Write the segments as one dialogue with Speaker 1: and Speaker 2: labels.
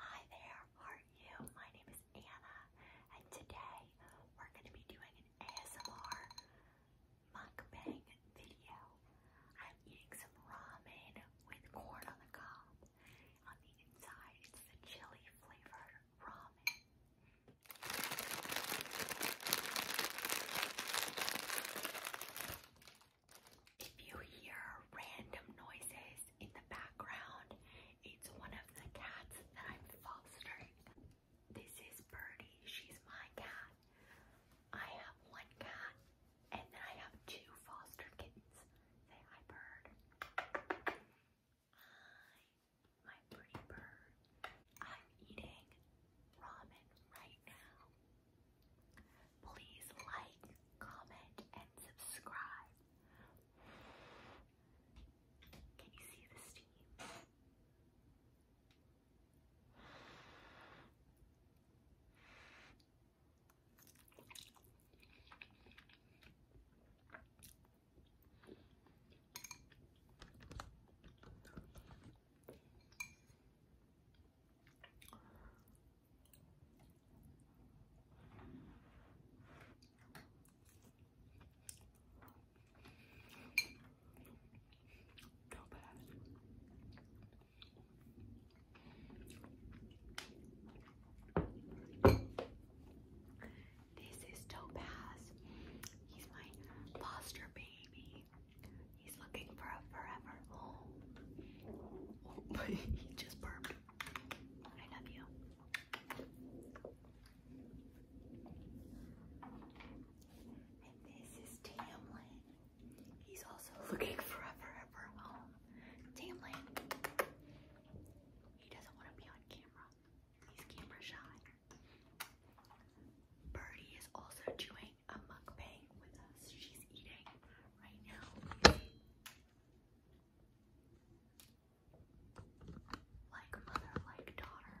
Speaker 1: Hi there, how are you? My name is Anna, and today we're going to be doing an ASMR mukbang video. I'm eating some ramen with corn on the cob. On the inside, it's the chili flavored ramen. If you hear random noises in the background, it's one of the cats that I'm fostering. This is Birdie, she's my cat. I have one cat, and then I have two foster kittens. Say hi, bird. Hi, my pretty bird. I'm eating ramen right now. Please like, comment, and subscribe. Can you see the steam? Go This is Topaz. He's my foster baby. He's looking for a forever home. he just burped. I love you. And this is Tamlin. He's also looking for a forever home. Tamlin. He doesn't want to be on camera. He's camera shy. Birdie is also chewing a mukbang with us. She's eating right now. Like mother, like daughter.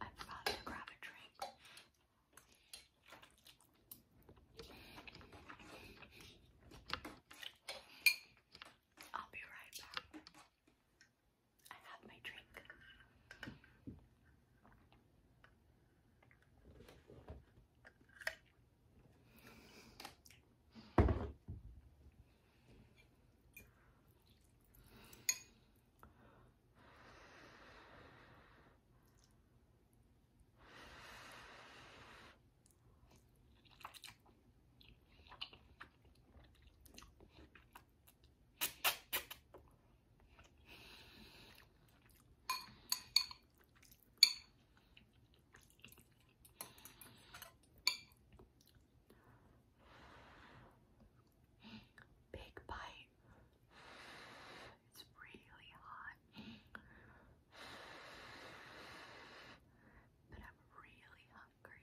Speaker 1: I forgot to grab a drink. I'll be right back. I have my drink. Big bite. It's really hot. But I'm really hungry.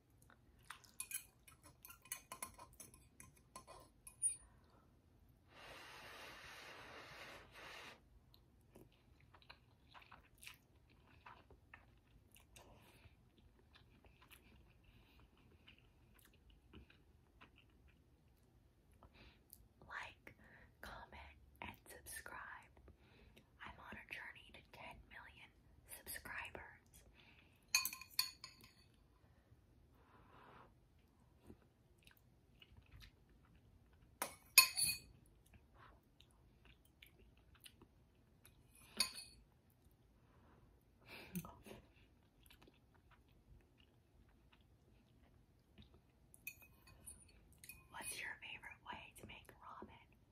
Speaker 1: Like, comment, and subscribe. I'm on a journey to 10 million subscribers. What's your favorite way to make ramen?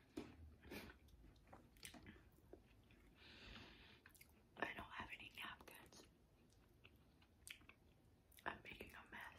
Speaker 1: I don't have any napkins. I'm making a mess.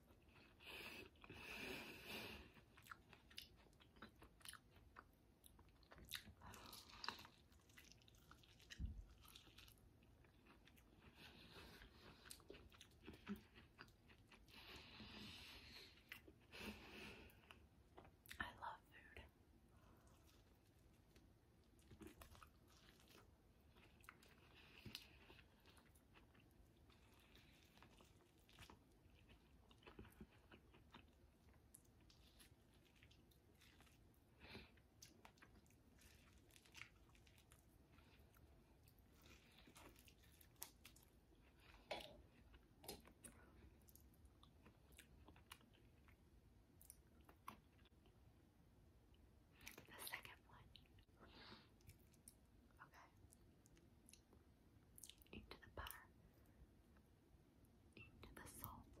Speaker 1: I love food. The second one. Okay into the butter, into the salt.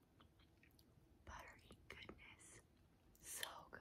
Speaker 1: buttery goodness. So good.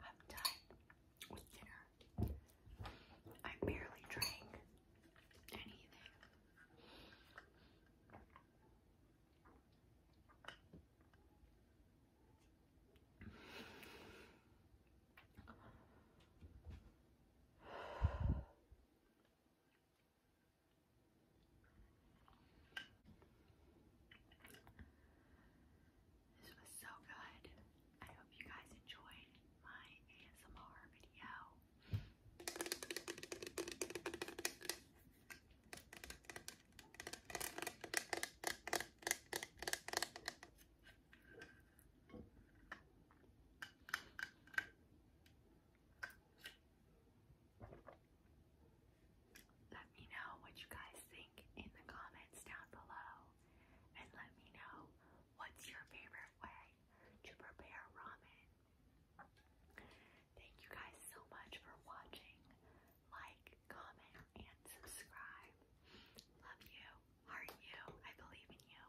Speaker 1: I'm done with dinner. I barely drank anything. This was so good. I hope you guys enjoyed my ASMR video. Let me know what you guys think in the comments down below. And let me know what's your favorite way to prepare ramen. Thank you guys so much for watching. Like, comment, and subscribe. Love you, heart you, I believe in you.